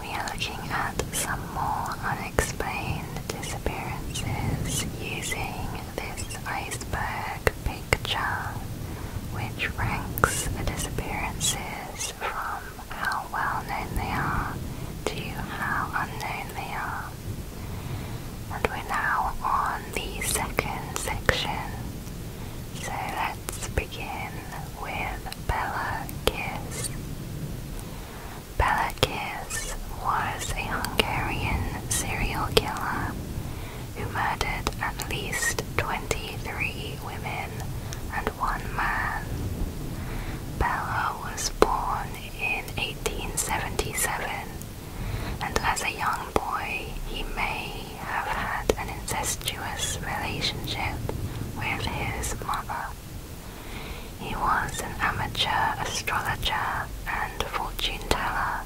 We are looking at some more unexplained disappearances using this iceberg picture, which ranks the disappearances from how well known they are to how unknown they are. And we're now on the second section. So let's begin with Bela Kiss. Bela Kiss was a Hungarian serial killer who murdered at least 23 women and one man. Bella was born in 1877, and as a young boy, he may have had an incestuous relationship with his mother. He was an amateur astrologer and fortune teller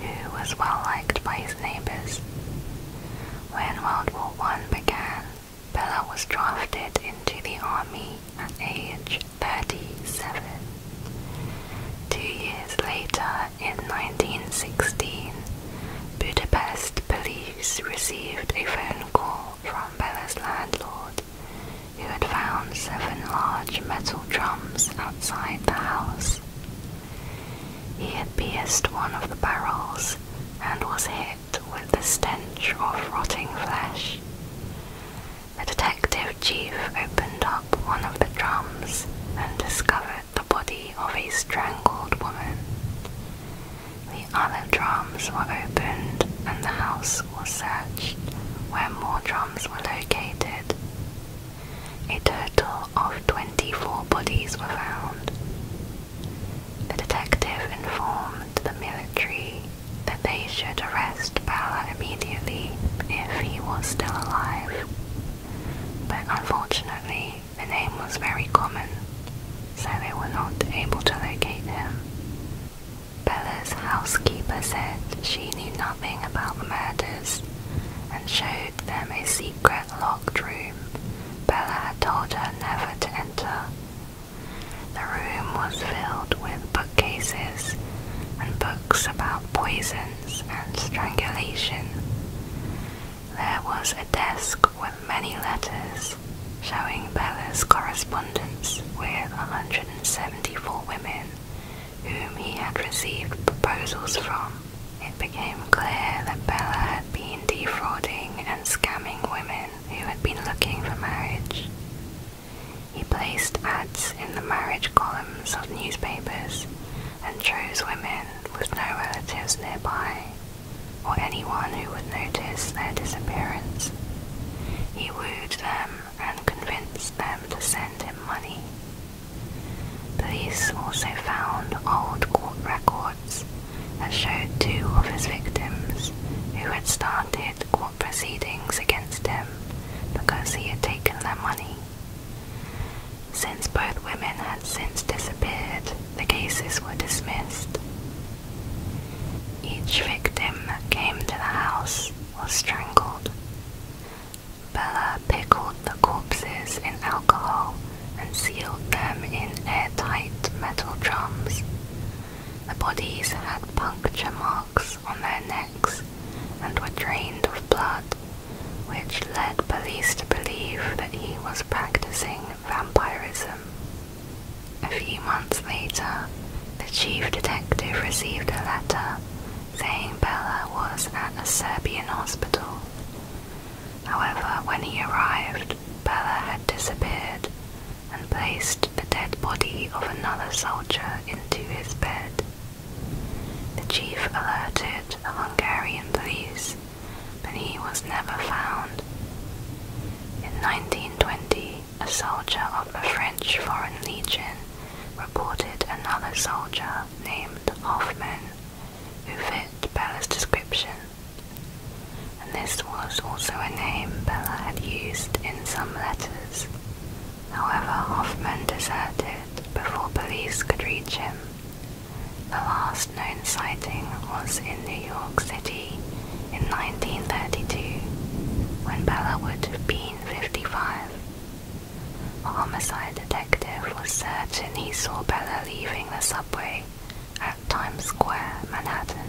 who was well liked by his neighbours. When World War I began, Bella was drafted into the army at age 37. Two years later, in 1916, Budapest police received a phone call from Bella's landlord, who had found seven large metal drums outside the house. He had pierced one of the barrels and was hit with the stench of rotting flesh. The detective chief opened up one of the drums and discovered the body of a strangled woman. The other drums were opened and the house was searched, where more drums were located. A total of 24 bodies were found. The detective informed the military that they should arrest Bala immediately if he was still alive. But unfortunately, the name was very common, so they were not able to locate him. Bella's housekeeper said she knew nothing about the murders and showed them a secret locked room Bella had told her never to enter. The room was filled with bookcases and books about poisons and strangulation. There was a desk with many letters showing Bella's correspondence with 174 women whom he had received proposals from. It became clear that Bella had been defrauding and scamming women who had been looking for marriage. He placed ads in the marriage columns of newspapers and chose women with no relatives nearby or anyone who would notice their disappearance. He wooed them and convinced them to send him money. Police also found old court records that showed two of his victims who had started court proceedings against him because he had taken their money. Since both women had since disappeared, the cases were dismissed, each victim that came to the house was strangled. Bella pickled the corpses in alcohol and sealed them in airtight metal drums. The bodies had puncture marks on their necks and were drained of blood, which led police to believe that he was practicing vampirism. A few months later, the chief detective received a letter saying Bella was at a Serbian hospital. However, when he arrived, Bella had disappeared and placed the dead body of another soldier into his bed. The chief alerted the Hungarian police, but he was never found. In 1920, a soldier of the French Foreign Legion reported another soldier named Hoffman who fit Bella's description, and this was also a name Bella had used in some letters. However, Hoffman deserted before police could reach him. The last known sighting was in New York City in 1932 when Bella would have been 55. A homicide detective was certain he saw Bella leaving the subway at Times Square, Manhattan.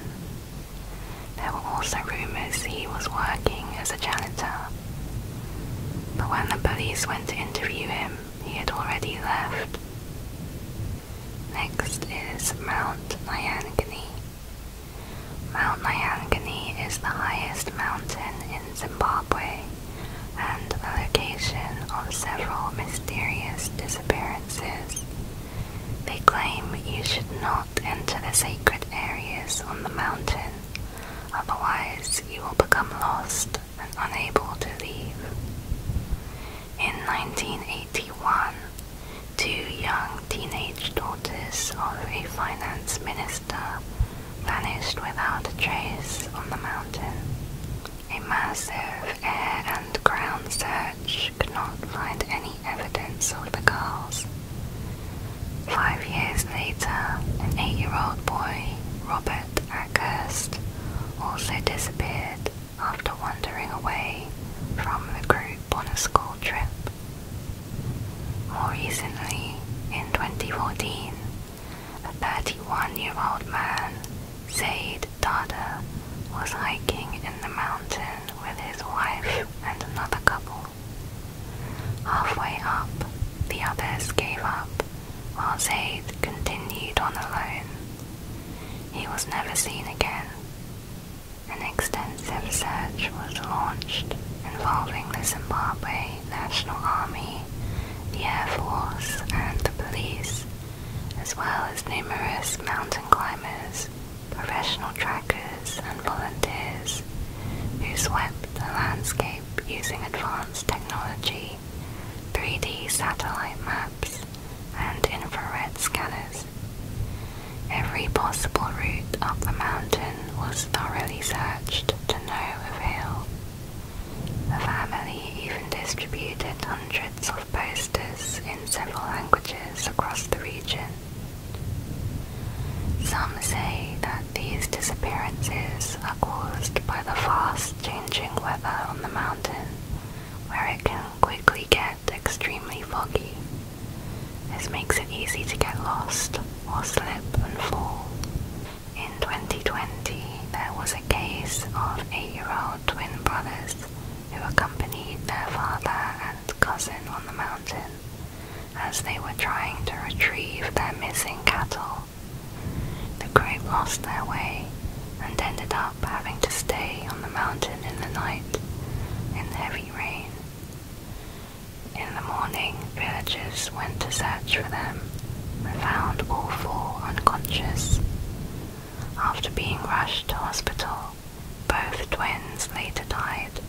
There were also rumors he was working as a janitor. But when the police went to interview him, he had already left. Next is Mount Nyangani. Mount Nyangani is the highest mountain in Zimbabwe and the location of several mysterious disappearances. They claim you should not enter the sacred areas on the mountain, otherwise, you will become lost and unable to leave. In 1981, two young teenage daughters of a finance minister vanished without a trace on the mountain. A massive air and ground search could not find any evidence of the girls. Five years later, an eight-year-old boy, Robert Ackhurst, also disappeared after wandering away from the group on a school trip. More recently, in 2014, a 31 year old man, Zaid Dada, was hiking in the mountain with his wife and another couple. Halfway up, the others gave up while Zaid continued on alone he was never seen again. An extensive search was launched involving the Zimbabwe National Army, the Air Force, and the police, as well as numerous mountain climbers, professional trackers, and volunteers who swept the landscape using advanced technology, 3D satellite maps, and infrared scanners. Every possible route up the mountain was thoroughly searched to no avail. The family even distributed hundreds of posters in several languages across the region. Some say that these disappearances are caused by the fast changing weather on the mountain, where it can quickly get extremely foggy. This makes it easy to get lost or slip and fall. In 2020, there was a case of eight-year-old twin brothers who accompanied their father and cousin on the mountain as they were trying to retrieve their missing cattle. The group lost their way and ended up having to stay on the mountain in the night in the heavy rain. In the morning, villagers went to search for them and found all four unconscious. After being rushed to hospital, both twins later died.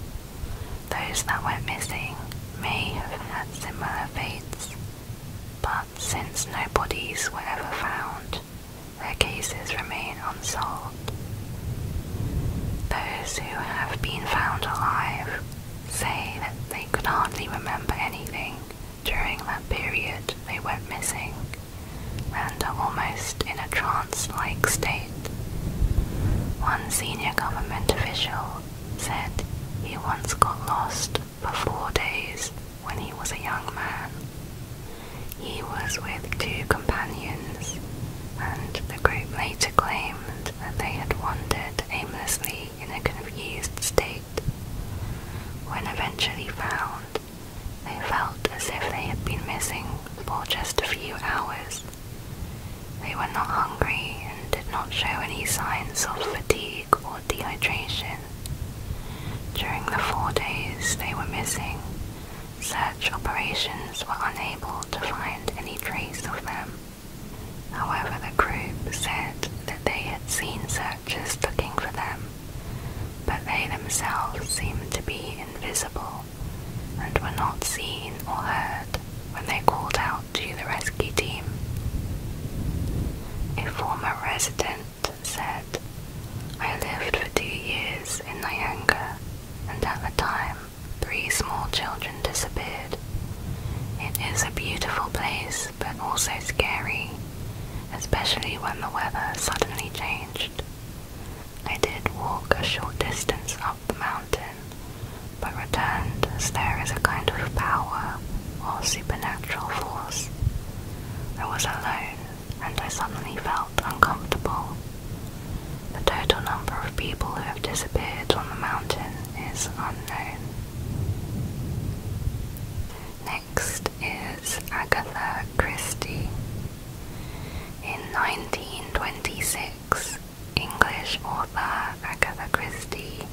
Those that went missing may have had similar fates, but since no bodies were ever found, their cases remain unsolved. Those who have been found alive say that they could hardly remember anything during that period they went missing and are almost in a trance like state. One senior government official said he once got lost for four days when he was a young man. He was with two companions, and the group later claimed that they had wandered aimlessly in a confused state. When eventually found, they felt as if they had been missing for just a few hours. They were not hungry and did not show any signs of fatigue or dehydration. During the four days they were missing, search operations were unable to find any trace of them. However, the group said that they had seen searchers looking for them, but they themselves seemed to be invisible and were not seen or heard when they called out to the rescue team. A former resident said, I lived for two years in Nyanga, and at the time, three small children disappeared. It is a beautiful place, but also scary, especially when the weather suddenly changed. I did walk a short distance up the mountain, but returned as there is a kind of power or supernatural force. I was alone and I suddenly felt uncomfortable. The total number of people who have disappeared on the mountain is unknown. Next is Agatha Christie. In 1926, English author Agatha Christie,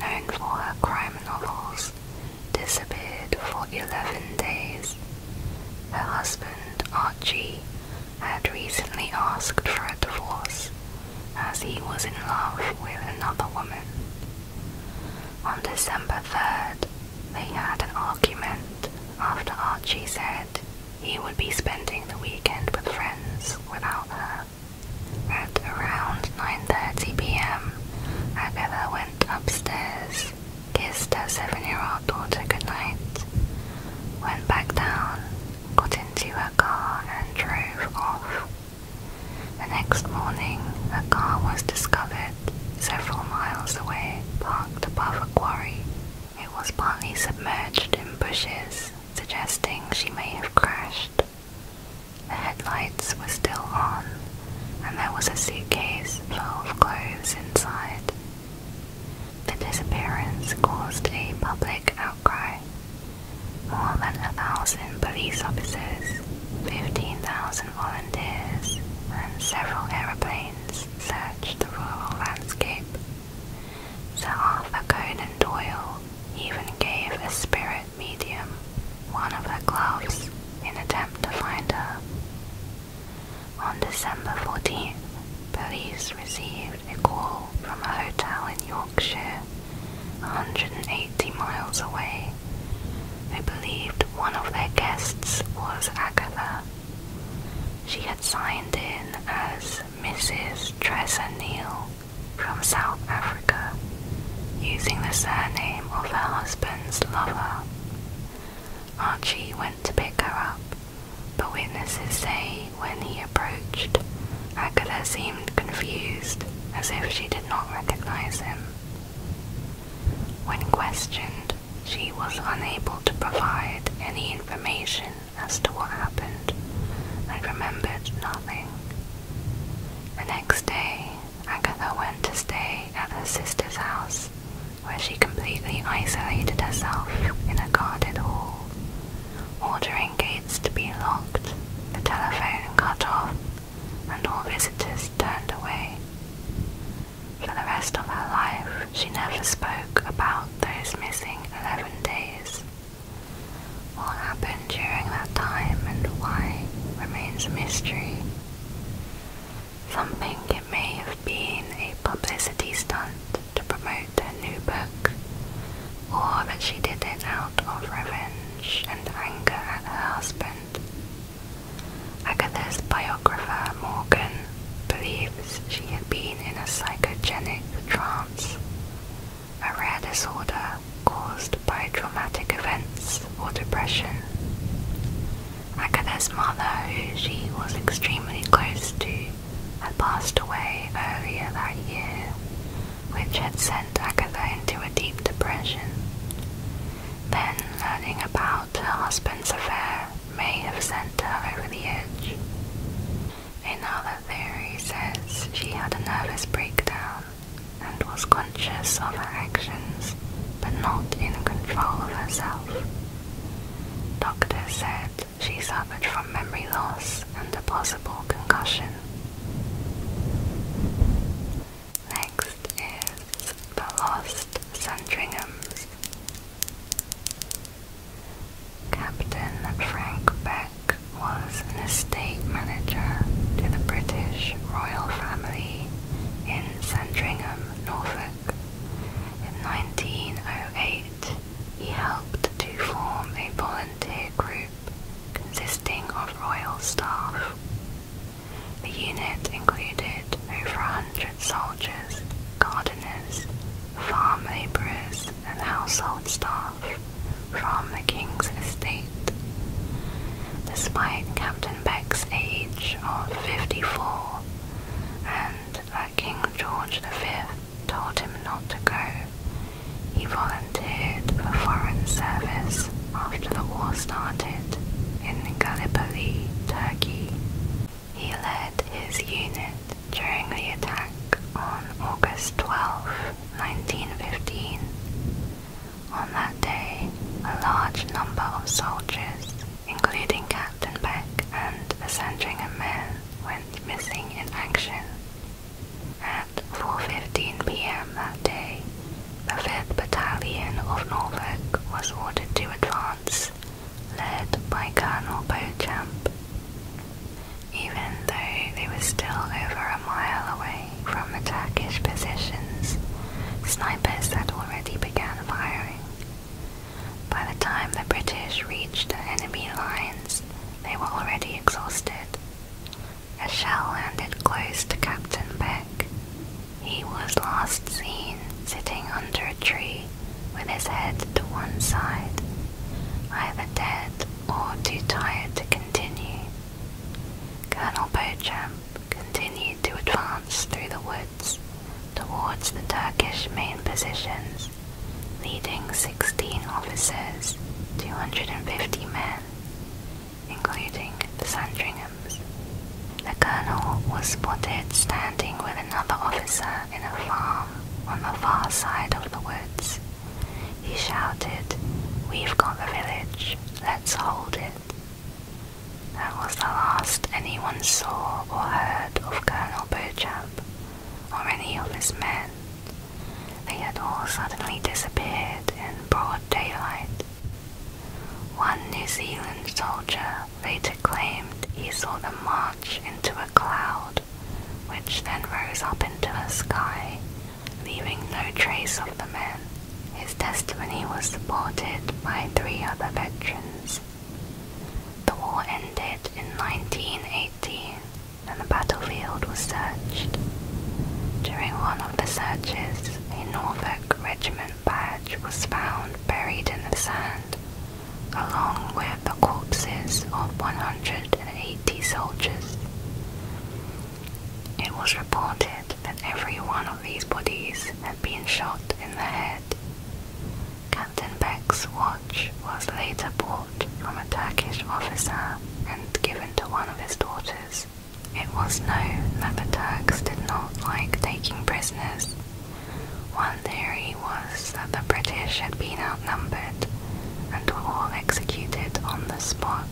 known for her crime novels, disappeared for 11 days. Her husband, Archie, had recently asked for a divorce as he was in love with another woman. On December 3rd, they had an argument after Archie said he would be spending the weekend with friends without her. At around 9.30pm, Agatha went upstairs kissed her seven-year-old daughter goodnight, went back down, got into her car and drove off. The next morning, her car was discovered several miles away, parked above a quarry. It was partly submerged in bushes, suggesting she may have crashed. The headlights were still on, and there was a suitcase full of clothes inside. The disappearance caused a public outcry. More than a thousand police officers, 15,000 volunteers, and several aeroplanes searched the rural landscape. Sir Arthur Conan Doyle even gave a spirit medium one of her clothes in attempt to find her. On December 14th, police received a call from a hotel in Yorkshire, 180 miles away. They believed one of their guests was Agatha. She had signed in as Mrs. Tressa Neal from South Africa, using the surname of her husband's lover. Archie went to pick her up, but witnesses say when he approached, Agatha seemed confused, as if she did not recognize him. When questioned, she was unable to provide any information as to what happened and remembered nothing. The next day, Agatha went to stay at her sister's house, where she completely isolated herself in a guarded hall, ordering gates to be locked, the telephone cut off, and all visitors turned away. For the rest of her life, she never spoke about those missing 11 days. What happened during that time and why remains a mystery. Something it may have been a publicity stunt to promote her new book, or that she did it out of revenge and anger at her husband. Agatha's biographer Morgan believes she had been in a psychogenic trance, a rare disorder caused by traumatic events or depression. Agatha's mother, who she was extremely close to, had passed away earlier that year, which had sent Agatha into a deep depression. Then, learning about her husband's affair may have sent her over the edge. Another theory says she had a nervous breakdown and was conscious of her actions but not in control of herself. Doctor said she suffered from memory loss and a possible concussion. Next is The Lost Sandringham's. Captain Frank Beck was an estate manager to the British royal family in Sandringham Norfolk. In 1908, he helped to form a volunteer group consisting of royal staff. The unit included over a hundred soldiers, gardeners, farm labourers and household staff from the king's estate despite Captain Beck's age of 54, and that uh, King George V told him not to go. He volunteered for foreign service after the war started in Gallipoli, Turkey. He led his unit during the attack on August 12, 1915. On that day, a large number of soldiers, including Captain Beck and a Sandringham man, went missing in action. At 4.15 pm that day, the 5th Battalion of Norfolk was ordered to advance, led by Colonel Beauchamp. Even though they were still over a mile away from the Turkish positions, snipers had already began firing. By the time the British reached the enemy lines, they were already exhausted. A shell landed close to Captain Beck. He was last seen sitting under a tree with his head to one side, either dead or too tired to continue. Colonel Beauchamp continued to advance through the wood towards the Turkish main positions, leading 16 officers, 250 men, including the Sandringhams. The colonel was spotted standing with another officer in a farm on the far side of the woods. He shouted, We've got the village, let's hold it. That was the last anyone saw or heard of Colonel Beauchamp or any of his men. They had all suddenly disappeared in broad daylight. One New Zealand soldier later claimed he saw them march into a cloud, which then rose up into the sky, leaving no trace of the men. His testimony was supported by three other veterans. The war ended in 1918 and the battlefield was searched. During one of the searches, a Norfolk Regiment badge was found buried in the sand, along with the corpses of 180 soldiers. It was reported that every one of these bodies had been shot in the head. Captain Beck's watch was later bought from a Turkish officer and given to one of his daughters. It was known that the Turks did not like taking prisoners. One theory was that the British had been outnumbered and were all executed on the spot.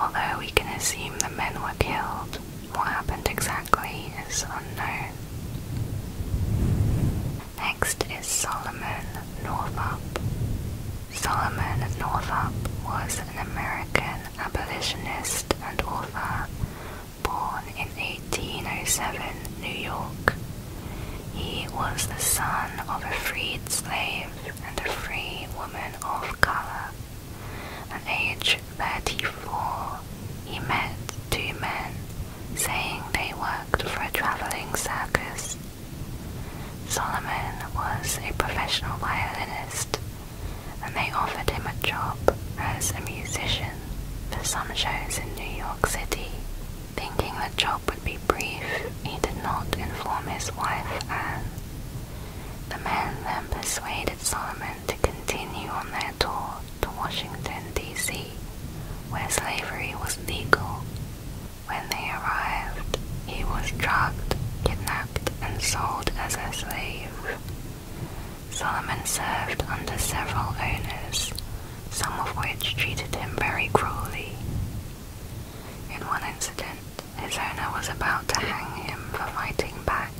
Although we can assume the men were killed, what happened exactly is unknown. Next is Solomon Northup. Solomon Northup was an American abolitionist and author born in 1807, New York. He was the son of a freed slave and a free woman of color. At age 34, he met two men saying they worked for a traveling circus. Solomon was a professional violinist, and they offered him a job as a musician for some shows in New York City. Thinking the job would be brief, he did not inform his wife Anne. The men then persuaded Solomon to continue on their tour to Washington, D.C., where slavery was legal. When they arrived, he was drugged, kidnapped, and sold as a slave. Solomon served under several owners, some of which treated him very cruelly. In one incident, his owner was about to hang him for fighting back,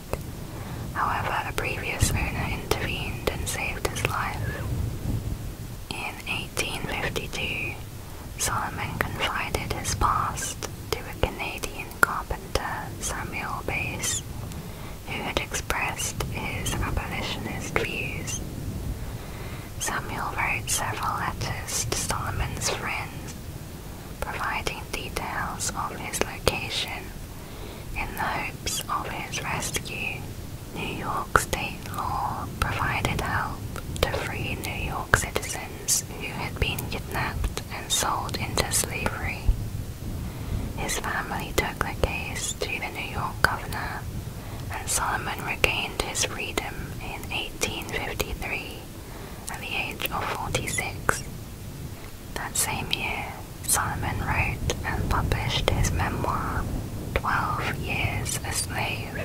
However, a previous owner intervened and saved his life. In 1852, Solomon confided his past to a Canadian carpenter, Samuel Bass, who had expressed his abolitionist views. Samuel wrote several letters to Solomon's friends providing details of his location in the hopes of his rescue. New York state law provided help to free New York citizens who had been kidnapped and sold into slavery. His family took the case to the New York governor, and Solomon regained his freedom in 1853 at the age of 46. That same year, Solomon wrote and published his memoir, Twelve Years a Slave,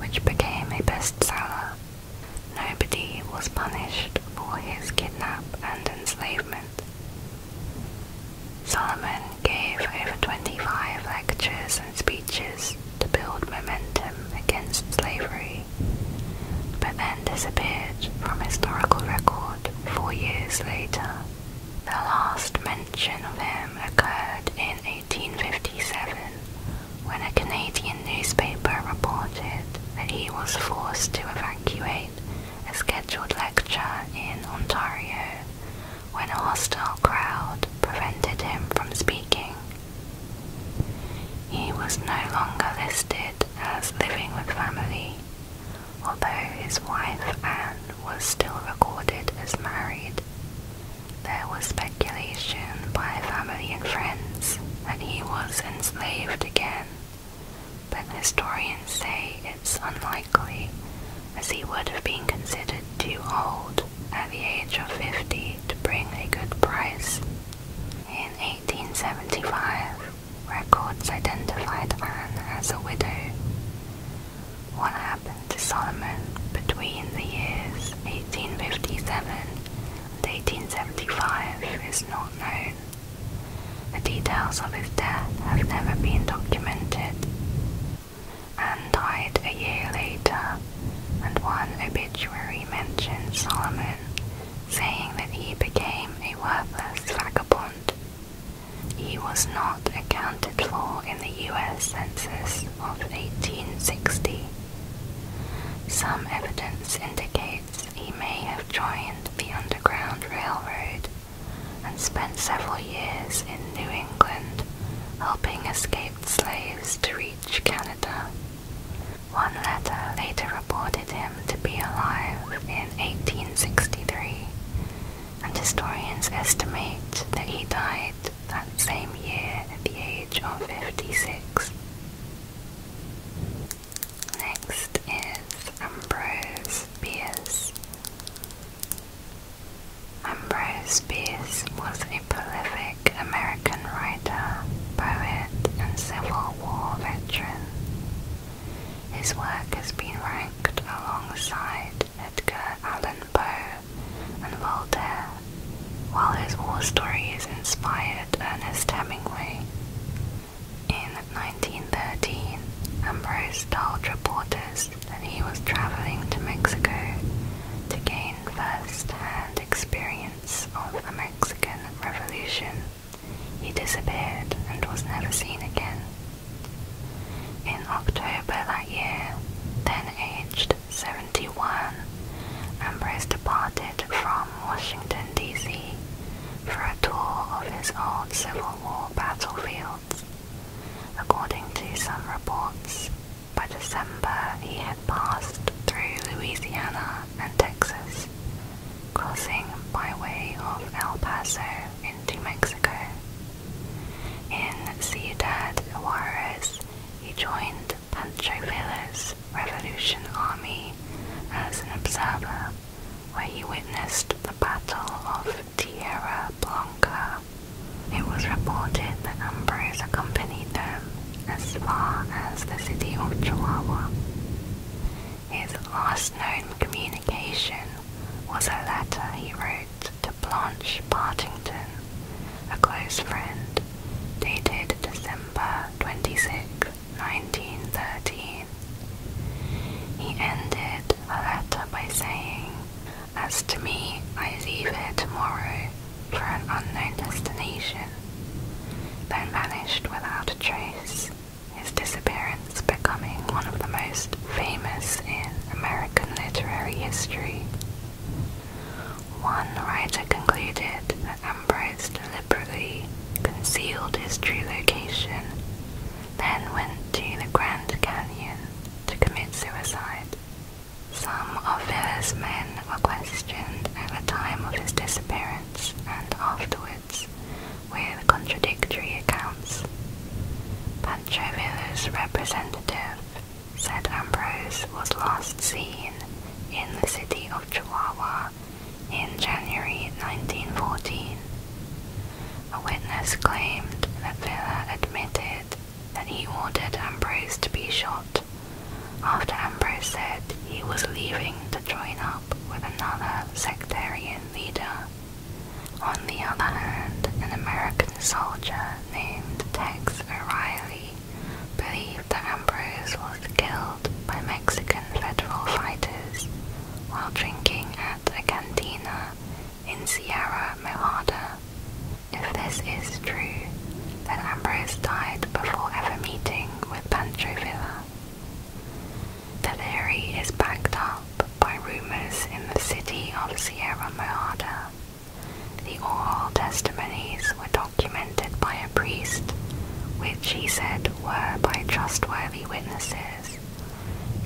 which became a bestseller. Nobody was punished for his kidnapping and enslavement. Solomon gave over 25 lectures and speeches to build momentum against slavery but then disappeared from historical record four years later. The last mention of him occurred in 1857 when a Canadian newspaper reported that he was forced to evacuate a scheduled lecture in Ontario when a hostile crowd prevented him from speaking. He was no longer listed as living with family, although his wife Anne was still recorded as married. There was speculation by family and friends that he was enslaved again, but historians say it's unlikely, as he would have been considered too old at the age of 50 to bring a good price. In 1875, records identified Anne as a widow. What happened to Solomon between the years 1857 and 1875 is not known. The details of his death have never been documented. Anne died a year later, and one obituary mentions Solomon saying that he became a worthless vagabond. He was not accounted for in the US Census of 1860. Some evidence indicates he may have joined the Underground Railroad and spent several years in New England helping escaped slaves to reach Canada. One letter later reported him to be alive in 1863, and historians estimate that he died that same year at the age of 56. Next is Ambrose Bierce. Ambrose Bierce was a prolific American writer writer, poet, and Civil War veteran. His work has been ranked alongside Edgar Allan Poe and Voltaire, while his war stories inspired Ernest Hemingway. In 1913, Ambrose told reporters that he was traveling to Mexico to gain first-hand experience of the Mexican Revolution. He disappeared and was never seen again. In October that year, then aged 71, Ambrose departed from Washington, D.C. for a tour of his old Civil War battlefields. According to some reports, by December he had passed through Louisiana and Texas, crossing by way of El Paso into Mexico. In Ciudad Juarez, he joined Pancho Villa's Revolution Army as an observer, where he witnessed the Battle of Tierra Blanca. It was reported that Ambrose accompanied them as far as the city of Chihuahua. His last known communication was a letter he wrote to Blanche Partington, a close friend, dated December 26, 1913. He ended the letter by saying, As to me, I leave it tomorrow for an unknown destination then vanished without a trace, his disappearance becoming one of the most famous in American literary history. One writer concluded that Ambrose deliberately concealed his true location, then went to the Grand Canyon to commit suicide. Some of Villa's men were questioned at the time of his disappearance and afterwards with contradictory accounts. Panchovilla's representative said Ambrose was last seen in the city of Chihuahua in January 1914. A witness claimed that Villa admitted that he ordered Ambrose to be shot after Ambrose said he was leaving to join up with another sectarian leader. On the other hand, an American soldier named Tex O'Reilly believed that Ambrose was killed by Mexican federal fighters while drinking at a cantina in Sierra Mojada. If this is true, then Ambrose died before ever meeting with Pancho Villa. The theory is backed up by rumors in the city of Sierra Mojada. The oral testimonies were documented by a priest, which he said were by trustworthy witnesses,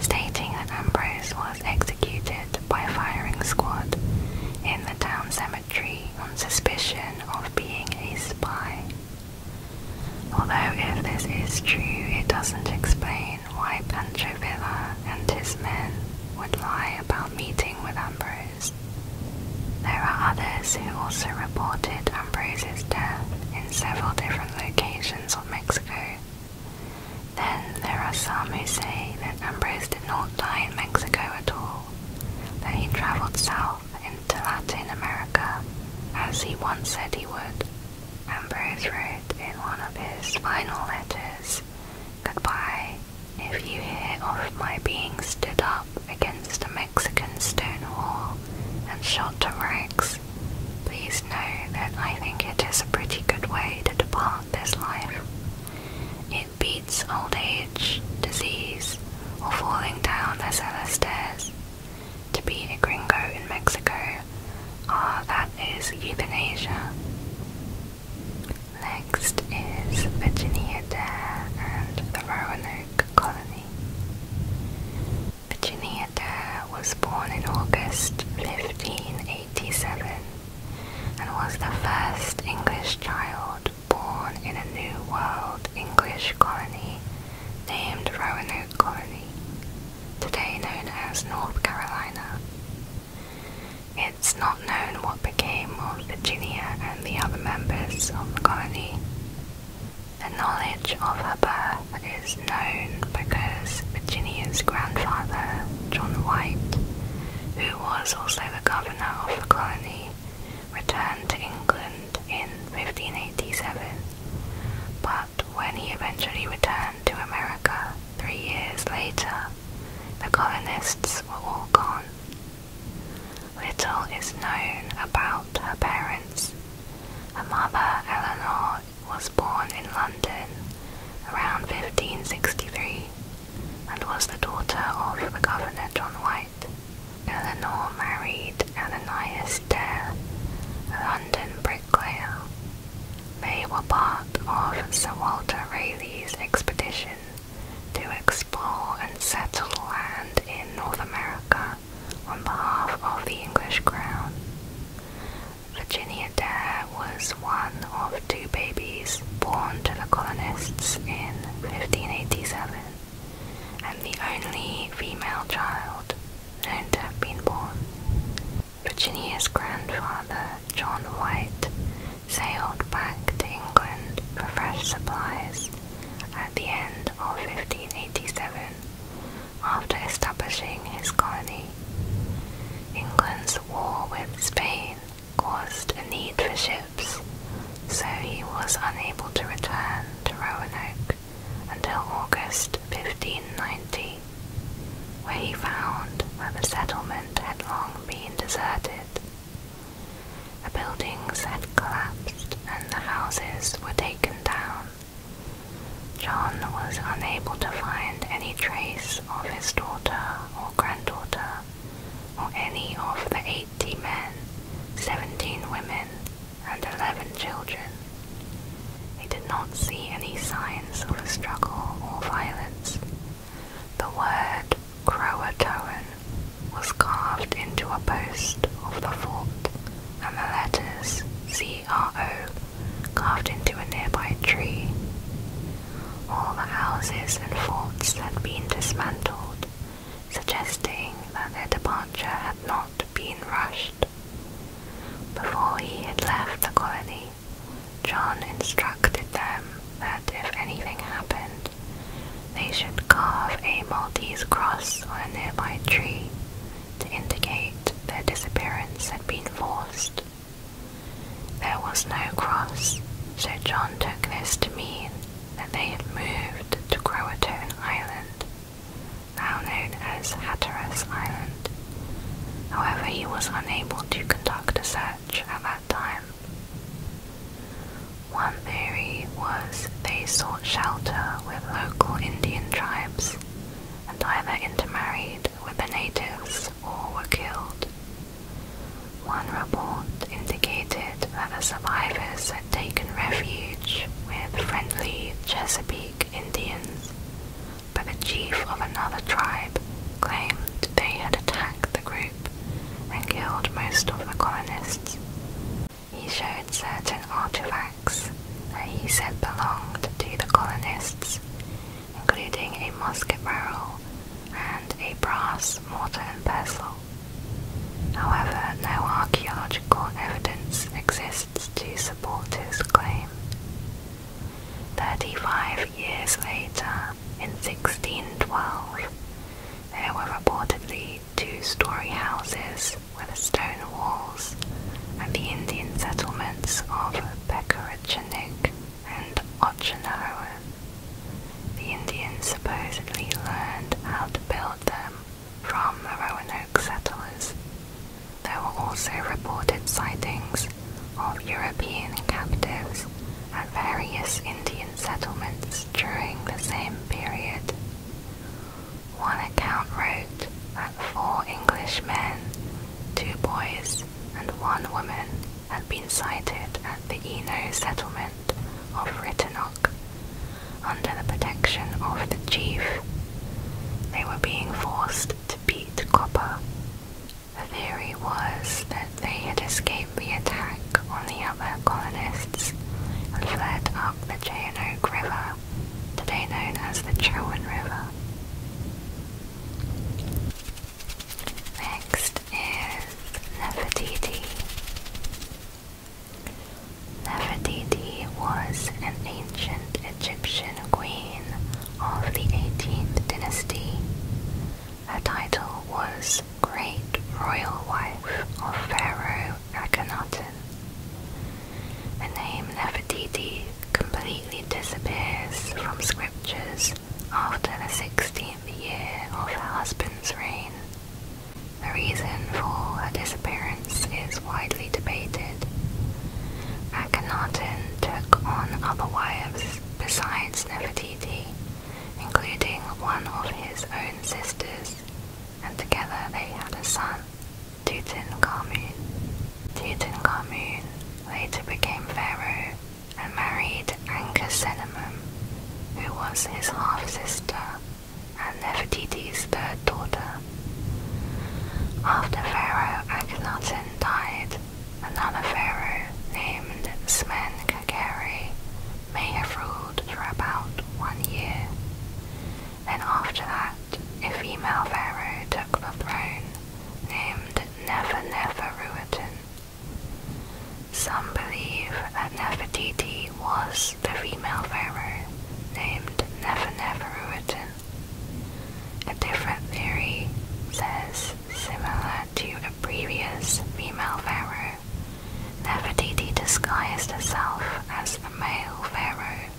stating that Ambrose was executed by a firing squad in the town cemetery on suspicion of being a spy. Although if this is true, it doesn't explain why Pancho Villa and his men would lie about meeting with Ambrose. There are others who also reported Ambrose's death in several different locations of Mexico. Then there are some who say that Ambrose did not die in Mexico at all, that he travelled south into Latin America, as he once said he would. Ambrose wrote in one of his final letters, Goodbye, if you hear of my being stood up against a Mexican stone wall and shot to rags, please know that I think it is a pretty good way to depart this life. It beats old age, disease, or falling down the cellar stairs to be a gringo in Mexico, ah, that is euthanasia. Next is Virginia Dare and the Roanoke Colony. Virginia Dare was born in August 1587 and was the first English child born in a New World English colony named Roanoke Colony, today known as North Carolina. It's not known what became of Virginia and the other members of the colony. The knowledge of her birth is known because Virginia's grandfather, John White, who was also the governor of the colony, returned to England in 1587, but when he eventually returned to America three years later, the colonists were all gone. Little is known about her parents. Her mother, Eleanor, was born in London around 1563 and was the daughter of the Governor John White. Eleanor married Ananias Dare, London bricklayer. They were part of Sir Walter Raleigh's expedition to explore and settle land in North America on behalf of the English crown. Virginia Dare was one of two babies born to the colonists in 1587 and the only female child known to have been born. Virginia's grandfather, John White, sailed back to England for fresh supplies at the end of 1587 after establishing his colony. England's war with Spain caused a need for ships so he was unable to return to Roanoke until August 1590, where he found that the settlement had long been deserted. The buildings had collapsed and the houses were taken down. John was unable to find any trace of his daughter or granddaughter, or any of the eighty men, seventeen women, and 11 children. They did not see any signs of a struggle or violence. The word Croatoan was carved into a post of the fort, and the letters CRO carved into a nearby tree. All the houses and forts had been dismantled, suggesting that their departure had not been rushed. Before he had left the colony, John instructed them that if anything happened, they should carve a Maltese cross on a nearby tree to indicate their disappearance had been forced. There was no cross, so John took this to mean that they had moved to Croatoan Island, now known as Hatteras Island. However, he was unable to conduct a search at that time. One theory was they sought shelter with local Indian tribes and either intermarried with the natives or were killed. One report indicated that the survivors taken refuge with friendly Chesapeake Indians, but the chief of another tribe claimed they had attacked the group and killed most of the colonists. He showed certain artifacts that he said belonged to the colonists, including a musket barrel and a brass mortar and pestle. However, no archaeological evidence exists to support his claim. Thirty-five years later, in 1612, there were reportedly two-story houses with stone walls and the Indian settlements of Pekharachanik and Ochinaroan. The Indians supposedly learned how to build them from the Roanoke settlers. There were also reported sightings of European captives at various Indian settlements during the same period. One account wrote that four Englishmen, two boys, and one woman had been sighted at the Eno settlement of Ritanock under the protection of the chief. They were being forced to beat copper. The theory was that they had escaped the attack on the other colonists and fled up the Cheyenoke River, today known as the Chowan River. Next is Nefertiti. Nefertiti was an ancient Egyptian queen of the 18th dynasty. Her title was Great Royal Wife of Pharaoh Akhenaten. The name Nefertiti completely disappears from scriptures after the 16th year of her husband's reign. The reason for her disappearance is widely debated. Akhenaten took on other wives besides Nefertiti, including one of his own sisters, and together they had a son, Tutankhamun. Tutankhamun later became pharaoh and married Ankesenamum, who was his half-sister and Nefertiti's third daughter. After Pharaoh Akhenaten died, another pharaoh named smen may have ruled for about one year. Then after that, a female pharaoh took the throne, named nefer Some believe that Nefertiti was the female pharaoh named Neferneferuaten. A different theory says, similar to a previous female pharaoh, Nefertiti disguised herself as a male pharaoh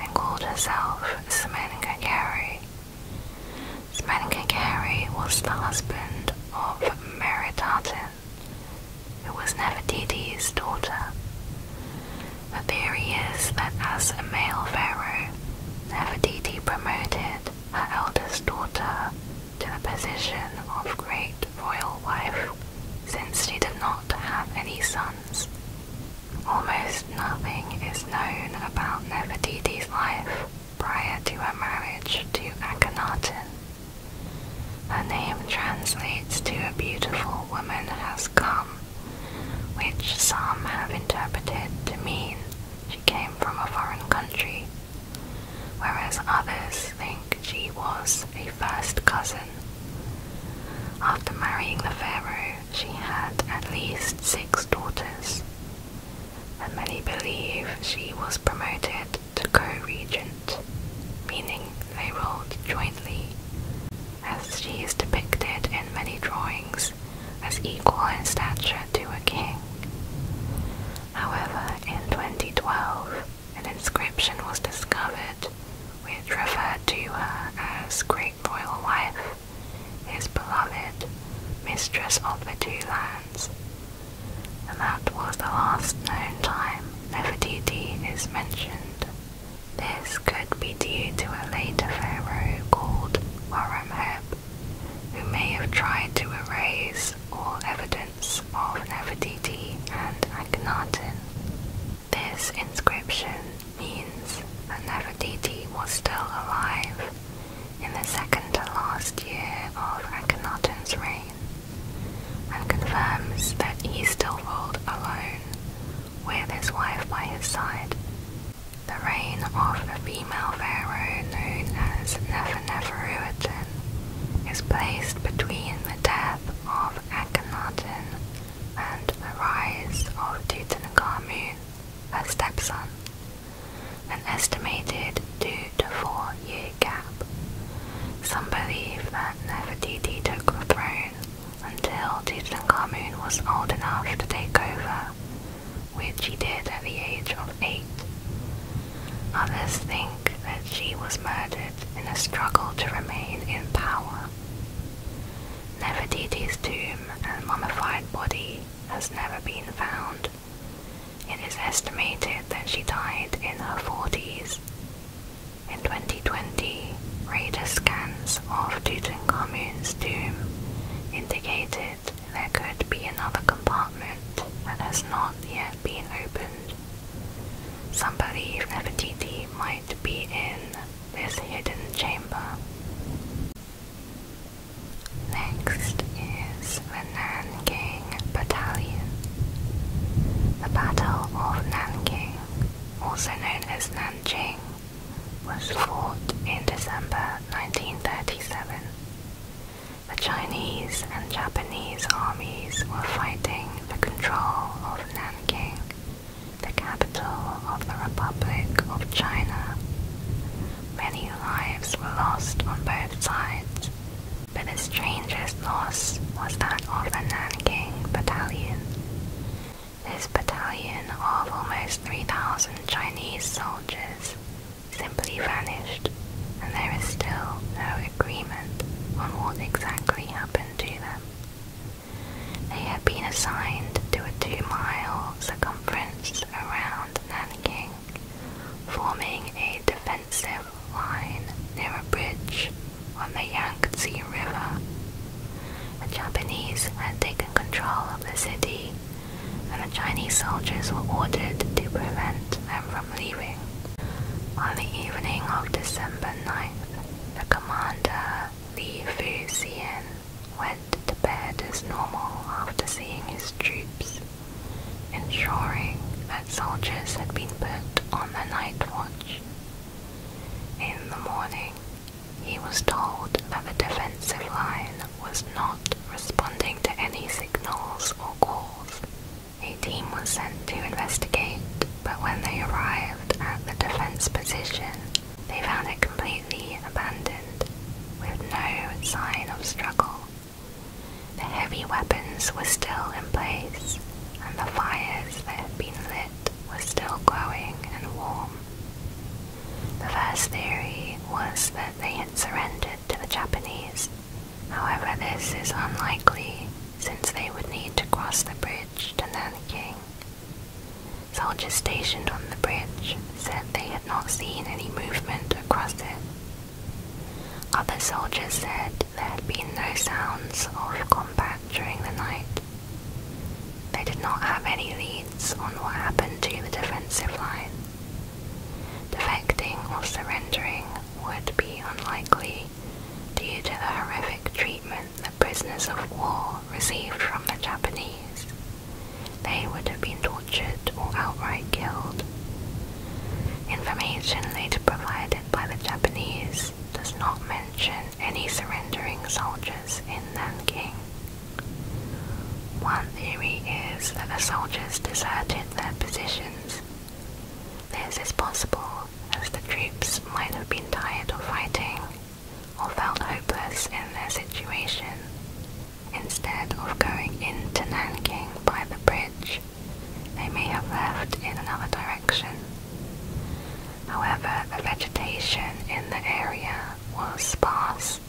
and called herself Smenkhkare. Smenkhkare was the husband of Meritaten, who was Nefertiti's daughter. The theory is that as a male pharaoh, Nefertiti promoted her eldest daughter to the position of great royal wife since she did not have any sons. Almost nothing is known about Nefertiti's life prior to her marriage to Akhenaten. Her name translates to a beautiful woman has come, which some have interpreted to mean she came from a foreign country, whereas others think she was a first cousin. After marrying the pharaoh, she had at least six daughters, and many believe she was promoted to co-regent, meaning they ruled jointly, as she is depicted in many drawings as equal in stature to a king. However, in 2012, an inscription was discovered which referred to her as Great Royal Wife, his beloved, mistress of the two lands, and that was the last known time Nefertiti is mentioned. This could be due to a later pharaoh called Horemheb, who may have tried to erase all evidence of Nefertiti and Akhenaten. This inscription means that Nefertiti was still alive in the second to last year of Akhenaten's reign and confirms that he still ruled alone, with his wife by his side. The reign of the female pharaoh known as Neferneferuaten is placed between the death of Akhenaten and the rise of Tutankhamun, her stepson. An estimated two to four year gap. Some believe that Nefertiti took the throne until Tutankhamun was old enough to take over, which he did at the age of eight. Others think that she was murdered in a struggle to remain in power. Nefertiti's tomb and mummified body has never been found. It is estimated that she died in her 40s in 2020, radar scans of Tutankhamun's tomb indicated there could be another compartment that has not yet been opened. Some believe Nefertiti might be in this hidden chamber. Next is the the Battle of Nanking, also known as Nanjing, was fought in December 1937. The Chinese and Japanese armies were fighting for control of Nanking, the capital of the Republic of China. Many lives were lost on both sides, but the strangest loss was that of the Nanjing Battalion. This battalion of almost 3,000 Chinese soldiers simply vanished, and there is still no agreement on what exactly happened to them. They had been assigned to a two-mile circumference around Nanjing, forming a defensive wine near a bridge on the Yangtze River. The Japanese had taken control of the city, and the Chinese soldiers were ordered to prevent them from leaving. On the evening of December 9th, the commander Li Fuxian went to bed as normal after seeing his troops, ensuring soldiers had been put on the night watch. In the morning, he was told that the defensive line was not responding to any signals or calls. A team was sent to investigate, but when they arrived at the defense position, they found it completely abandoned, with no sign of struggle. The heavy weapons were still in place, and the fires that had been lit were still glowing and warm. The first theory was that they had surrendered to the Japanese. However, this is unlikely since they would need to cross the bridge to Nanjing. Soldiers stationed on the bridge said they had not seen any movement across it. Other soldiers said there had been no sounds of combat during the night. They did not have any leads on what happened to the defensive line. Defecting or surrendering would be unlikely due to the horrific treatment the prisoners of war received from the Japanese. They would have been tortured or outright killed. Information later provided by the Japanese does not mention any surrendering soldiers in Nanking. One theory is that the soldiers deserted their positions. This is possible as the troops might have been tired of fighting or felt hopeless in their situation. Instead of going into Nanking by the bridge, they may have left in another direction. However, the vegetation in the area was sparse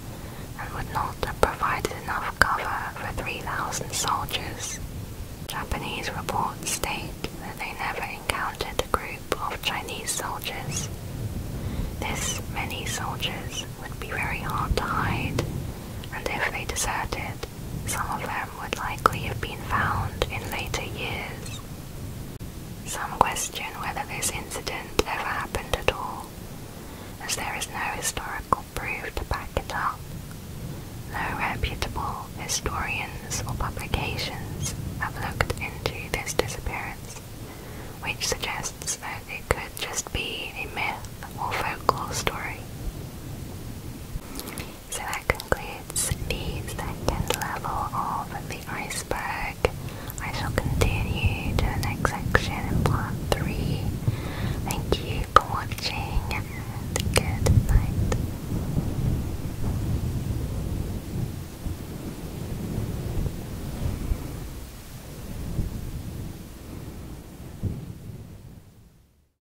and would not have provided enough cover for 3,000 soldiers. Japanese reports state that they never encountered a group of Chinese soldiers. This many soldiers would be very hard to hide, and if they deserted, some of them would likely have been found in later years. Some question whether this incident ever happened at all, as there is no historical proof to back it up. No reputable historians or publications have looked into this disappearance, which suggests that it could just be a myth or folklore story. So that concludes the second level of the iceberg. I shall continue to the next section part 3. Thank you for watching good night.